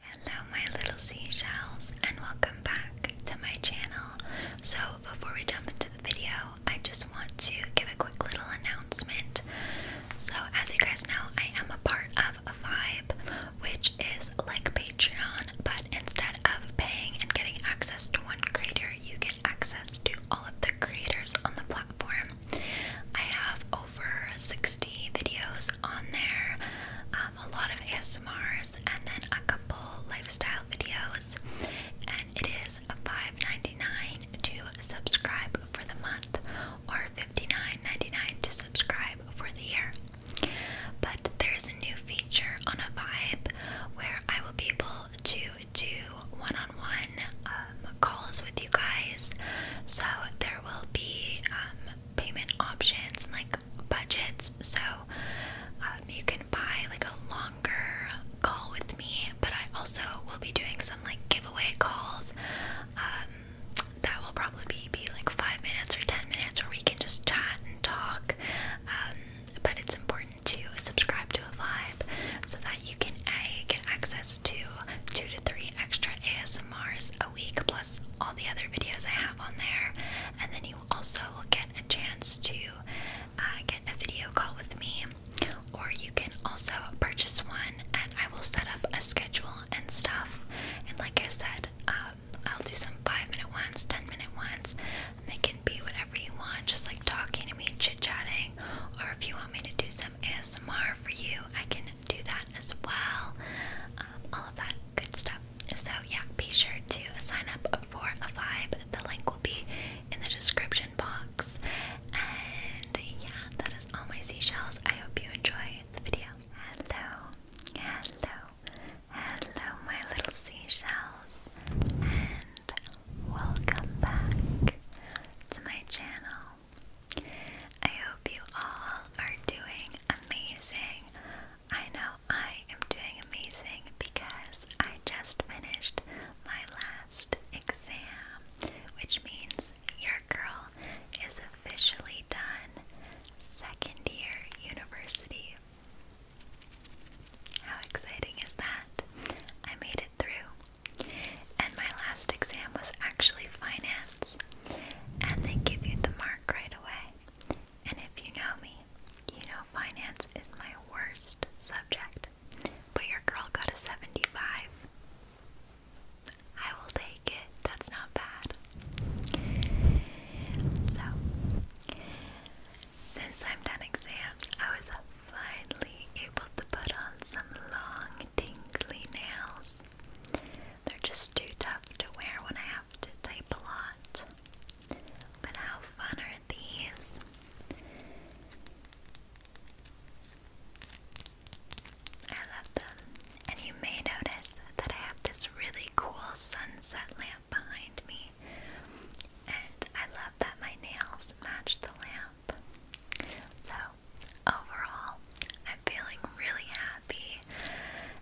Hello my little seashells and welcome back to my channel. So before we jump into the video, I just want to give a quick little announcement. So as you guys know, I am a part of a Vibe, which is like Patreon, but instead of paying and getting access to one creator, you get access to all of the creators on the platform. I have over 60 videos on there, um, a lot of ASMRs, and then a couple lifestyle videos. And it is $5.99 to subscribe for the month, or $59.99 to subscribe for the year. But there's a new feature on a vibe where I will be able to do one on one calls with you guys. So there will be um, payment options and like budgets. So um, you can buy like a longer call with me, but I also will be doing some like giveaway calls. Um, that will probably be, be like five minutes or ten minutes, where we can just chat and talk. Um, but it's important to subscribe to a vibe so that you can get access to two to three extra ASMRs a week, plus all the other videos I have on there, and then you also will get a chance to uh, get a video call with me, or you can also purchase one, and I will set up a schedule and stuff. And like I said, um, I'll do some five minute ones, ten minute ones, they can be whatever you want, just like talking to me, chit chatting, or if you want me to do some ASMR for you, I can do that as well. Um, all of that good stuff. So, yeah, be sure to sign up for a vibe. The link will be in the description box. And yeah, that is all my seashells. I hope you enjoy the video. Hello, hello, hello, my little seashells, and welcome back to my channel. I hope you all are doing amazing. I know I am doing amazing because I just finished my last exam, which means your girl is officially done second year university. How exciting is that? I made it through. And my last exam was actually finance. And they give you the mark right away. And if you know me, you know finance is my worst subject. But your girl got a 75. I will take it. That's not bad. So, since I'm done exams, I was finally able to put on some long, tingly nails. They're just too tough to wear when I have to type a lot. But how fun are these? I love them. And you may notice that I have this really cool sunset lamp behind me. And I love that my nails match the lamp. So, overall, I'm feeling really happy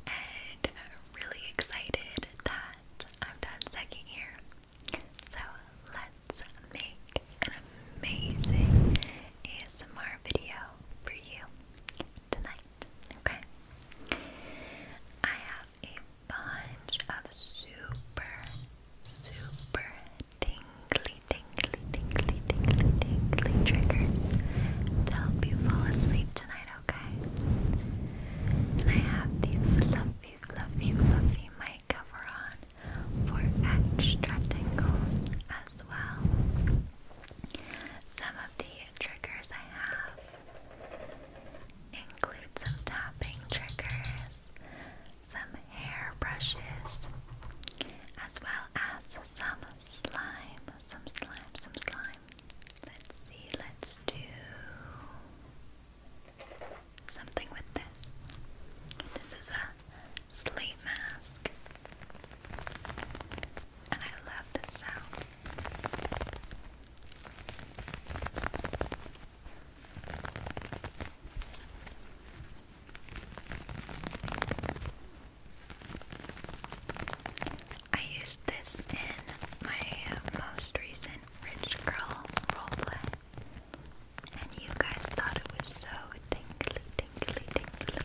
and really excited that I'm done second year. So let's make an amazing ASMR video for you tonight, okay? I have a bunch of super, super tingly, tingly, tingly, tingly, tingly triggers to help you fall asleep tonight, okay? And I have the fluffy, fluffy, fluffy mic cover on for extra tingles as well. Some of the triggers I have include some tapping triggers, some hair brushes, as well as some slime, some slime, some slime. Let's see, let's do something with this. This is a sleep mask. And I love this sound. I used this in my most recent Rich Girl roleplay, and you guys thought it was so tingly, tingly, tingly.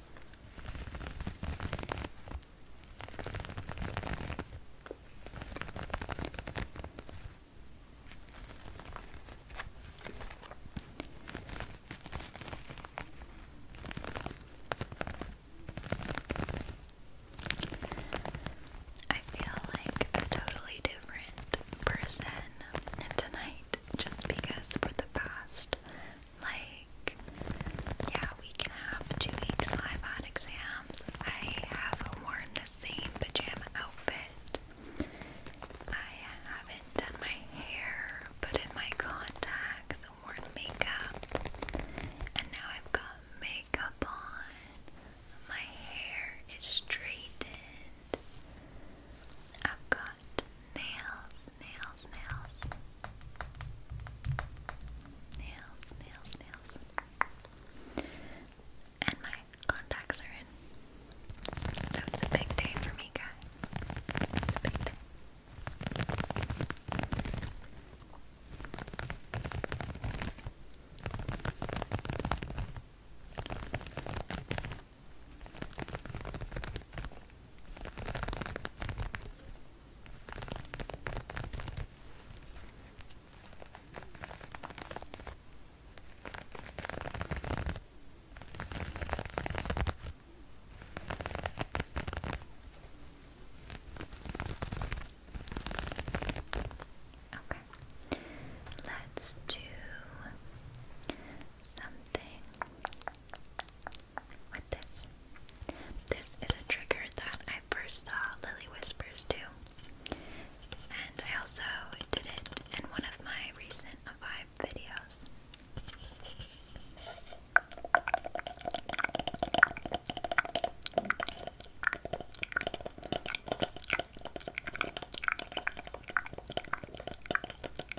I feel like a totally different person tonight just because for the past like, yeah, we can have two weeks till I've exams. I have worn the same pajama outfit. I haven't done my hair, put in my contacts, worn makeup, and now I've got makeup on. My hair is straightened. I've got nails, nails, nails, nails, nails, nails, and my contacts are in. So it's a big day for me, guys. It's a big day. Okay, let's do something with this. This is a trigger that I first saw Lily Whispers do, and I also did it in one of my recent Vibe videos.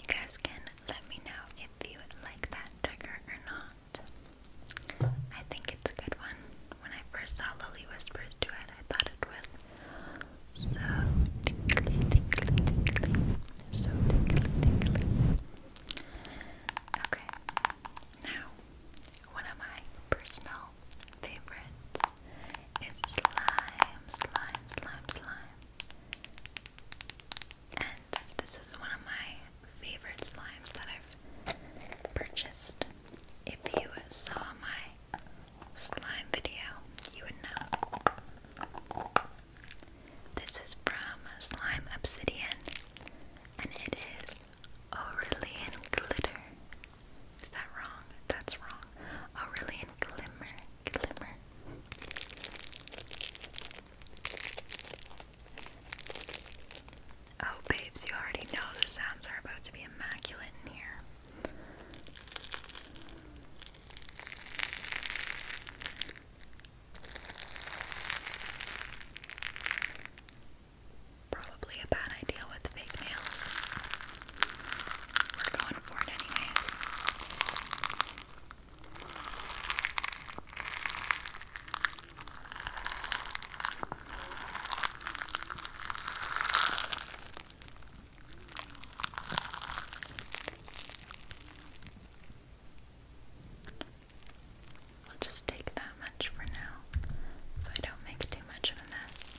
you guys can let me know if you like that trigger or not. I think it's a good one. When I first saw Lily Whispers do it, I thought it was so Okay, now one of my personal favorites is slime, slime, slime, slime. And this is one of my favorite slimes that I've purchased. If you saw my slime video, you would know. This is from Slime Obsidian, and it is Aurelian Glitter. Is that wrong? That's wrong. Aurelian Glimmer. Oh, babes, you already know the sounds are about to be immaculate in here. Probably a bad idea with fake nails. We're going for it anyways. We'll just take that much for now so I don't make too much of a mess.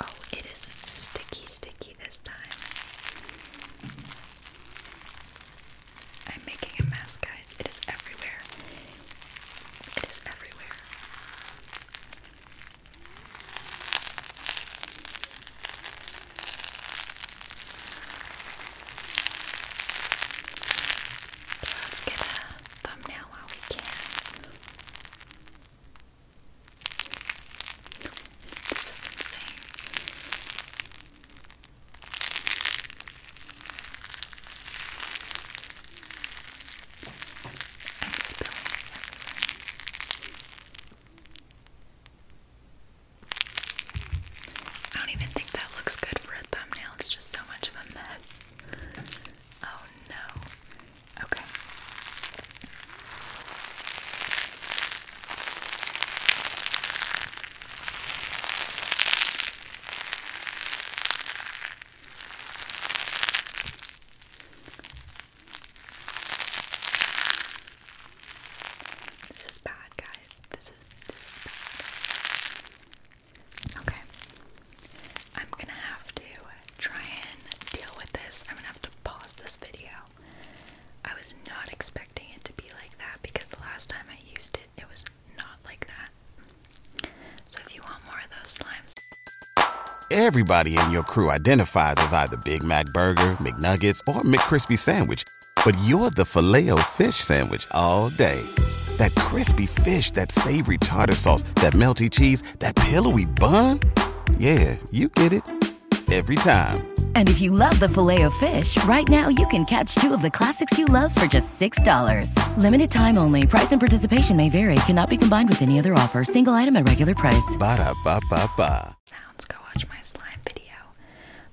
Oh, it is sticky, sticky this time. I'm making a mess, guys. It is everywhere. It is everywhere. let's get a thumbnail while we can. I don't even think that looks good for a thumbnail. It's just so much of a mess. Oh no. Okay. This is bad, guys. This is this is bad. Okay. I'm gonna have to I'm gonna have to pause this video. everybody in your crew identifies as either Big Mac Burger, McNuggets, or McCrispy Sandwich, but you're the filet fish Sandwich all day. That crispy fish, that savory tartar sauce, that melty cheese, that pillowy bun. Yeah, you get it every time. And if you love the filet of fish, right now you can catch two of the classics you love for just $6. Limited time only. Price and participation may vary. Cannot be combined with any other offer. Single item at regular price. Ba da ba ba ba. Sounds go watch my slime video.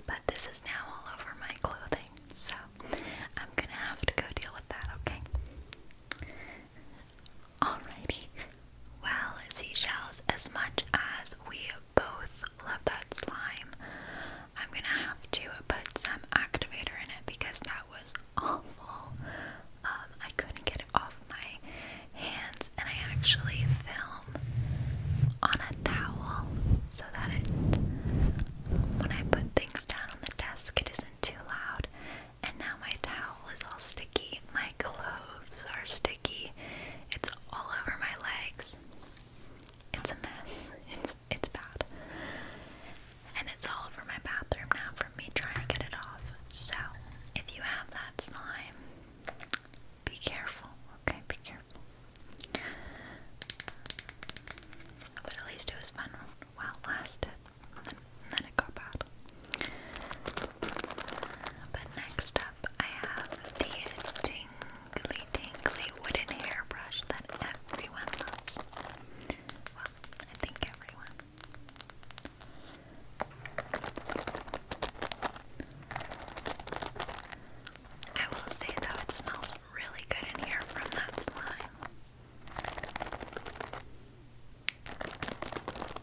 But this is now all over my clothing. So I'm gonna have to go deal with that, okay? Alrighty. Well, seashells, as much as we both love that slime, I'm gonna have to put some activator in it because that was awful. Um, I couldn't get it off my hands, and I actually film on a towel so that when I put things down on the desk, it isn't too loud. And now my towel is all sticky. My clothes are sticky. It's all over my legs. It's a mess. It's it's bad. And it's all over my bathroom now from me trying to get it off. So if you have that slime, be careful. Okay, be careful. But at least it was fun while it lasted and next up, I have the tingly, tingly wooden hairbrush that everyone loves. Well, I think everyone. I will say though, it smells really good in here from that slime.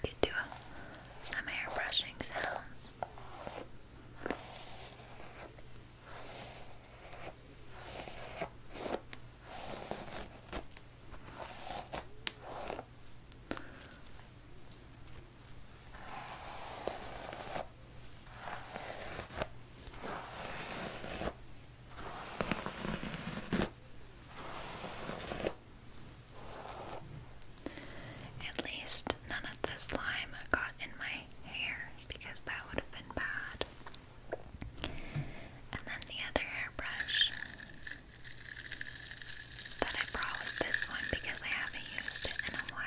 Could do some air brushing sounds. At least none of the slime got in my hair because that would have been bad. And then the other hairbrush that I brought was this one because I haven't used it in a while.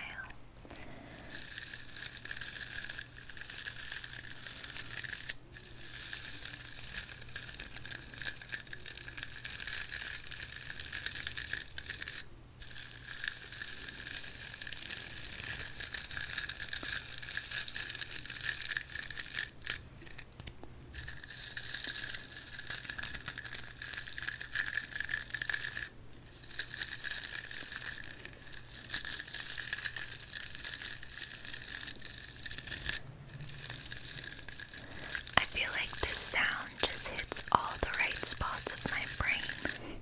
I feel like this sound just hits all the right spots of my brain.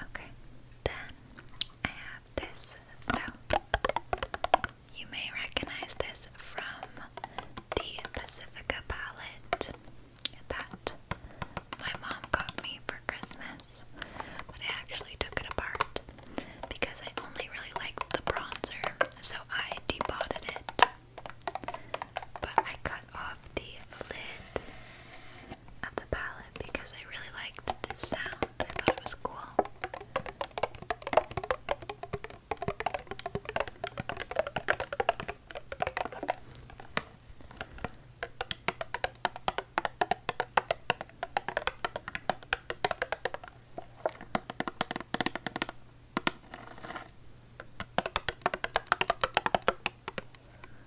Okay, then I have this sound. You may recognize this from the Pacifica palette that my mom got me for Christmas, but I actually took it apart because I only really liked the bronzer, so I depotted it. But I cut off the lid of the palette because I really liked this sound. I thought it was cool.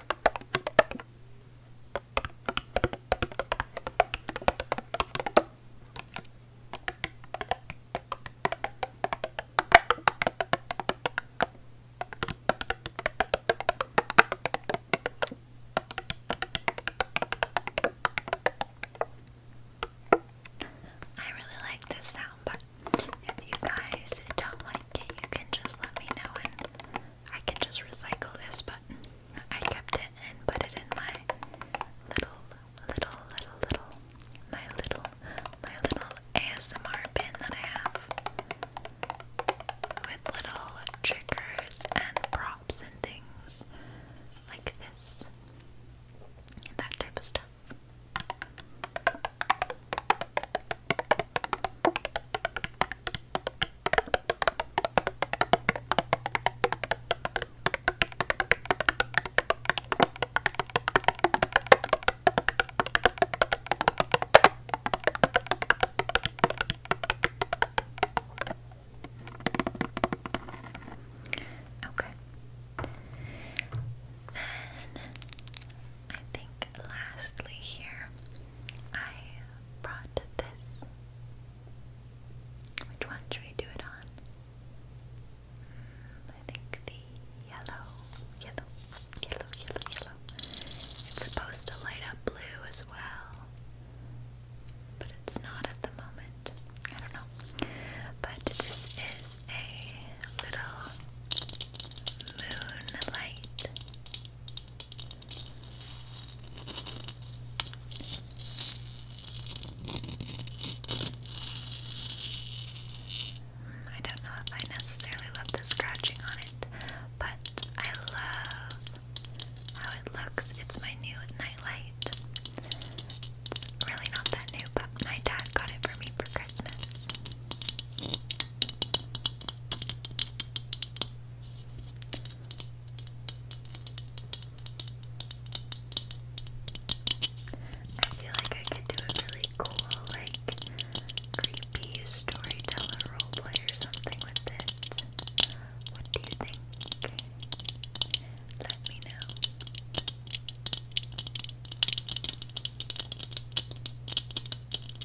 I really like this sound, but if you guys don't like yeah, you can just let me know and I can just recycle this, but I kept it and put it in my little, little, little, little, my little, my little ASMR bin that I have with little triggers and props and things like this, that type of stuff. Okay. Then I think lastly here I brought this. Which one should we do it on? Mm, I think the yellow, yellow, yellow, yellow, yellow. It's supposed to light up blue as well, but it's not at the moment. I don't know. But this is a little moonlight I don't know if I necessarily love the scratching on it, but I love how it looks. It's my new nightlight. It's really not that new, but my dad got it for me for Christmas. I feel like I could do a really cool, like, creepy storyteller roleplay or something with it. What do you think? Let me know.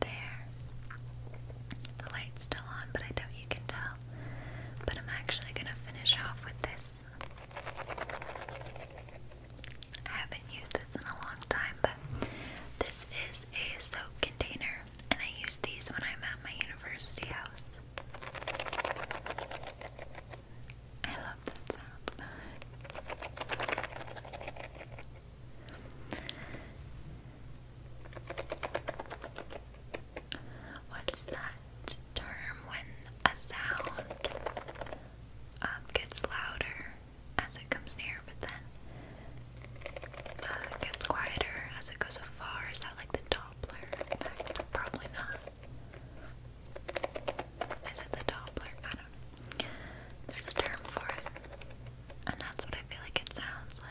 there. The light's still on, but I doubt you can tell. But I'm actually gonna finish off with this. I haven't used this in a long time, but this is a soap container, and I use these when I'm at my university house. I love that sound. What's that term when a sound um, gets louder as it comes near, but then uh, gets quieter as it goes afar? Is that like the Doppler effect? Probably not. Is it the Doppler? I don't There's a term for it, and that's what I feel like it sounds like.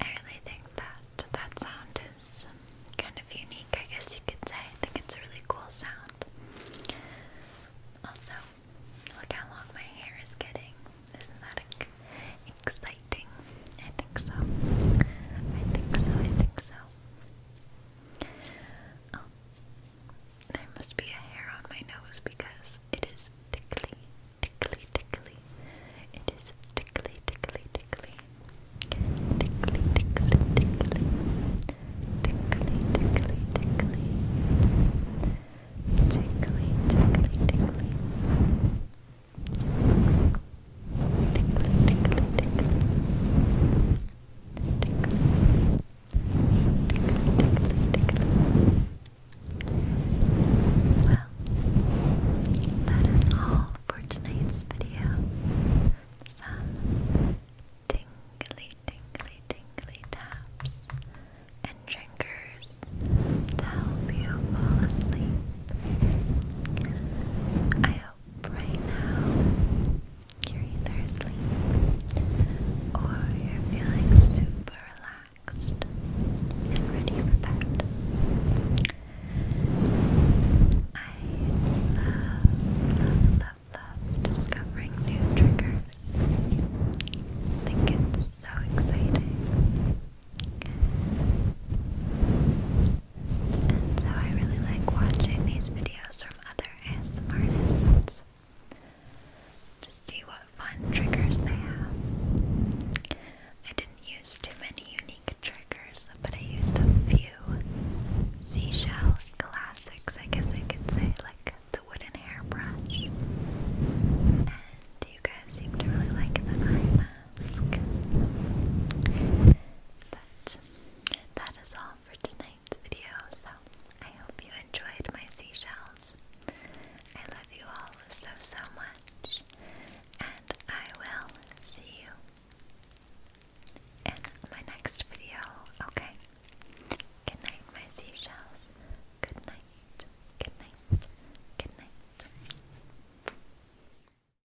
I really think that that sound is kind of unique, I guess you could say. I think it's a really cool sound. Also, look how long my hair is getting. Isn't that exciting? I think so. I think so. I think so. Oh, there must be a hair on my nose because it is tickly, tickly, tickly. It is Tickly, tickly, tickly. Tickly, tickly, tickly. Tickly, tickly, tickly. Tickly, tickly, tickly. Well, that is all for tonight's video. Some tingly, tingly, tingly taps and triggers to help you fall asleep. I hope right now you're either asleep or you're feeling super relaxed and ready for bed. I love, love, love, love discovering new triggers. I think it's so exciting. And so I really like watching these videos from other ASMR artists to see what fun triggers they have. I didn't use too many unique triggers, but I used a few seashell classics, I guess I could say, like the wooden hairbrush. And you guys seem to really like the eye mask that is all for tonight's video. So I hope you enjoyed my seashells. I love you all so so much, and I will see you in my next video. Okay. Good night, my seashells. Good night. Good night. Good night.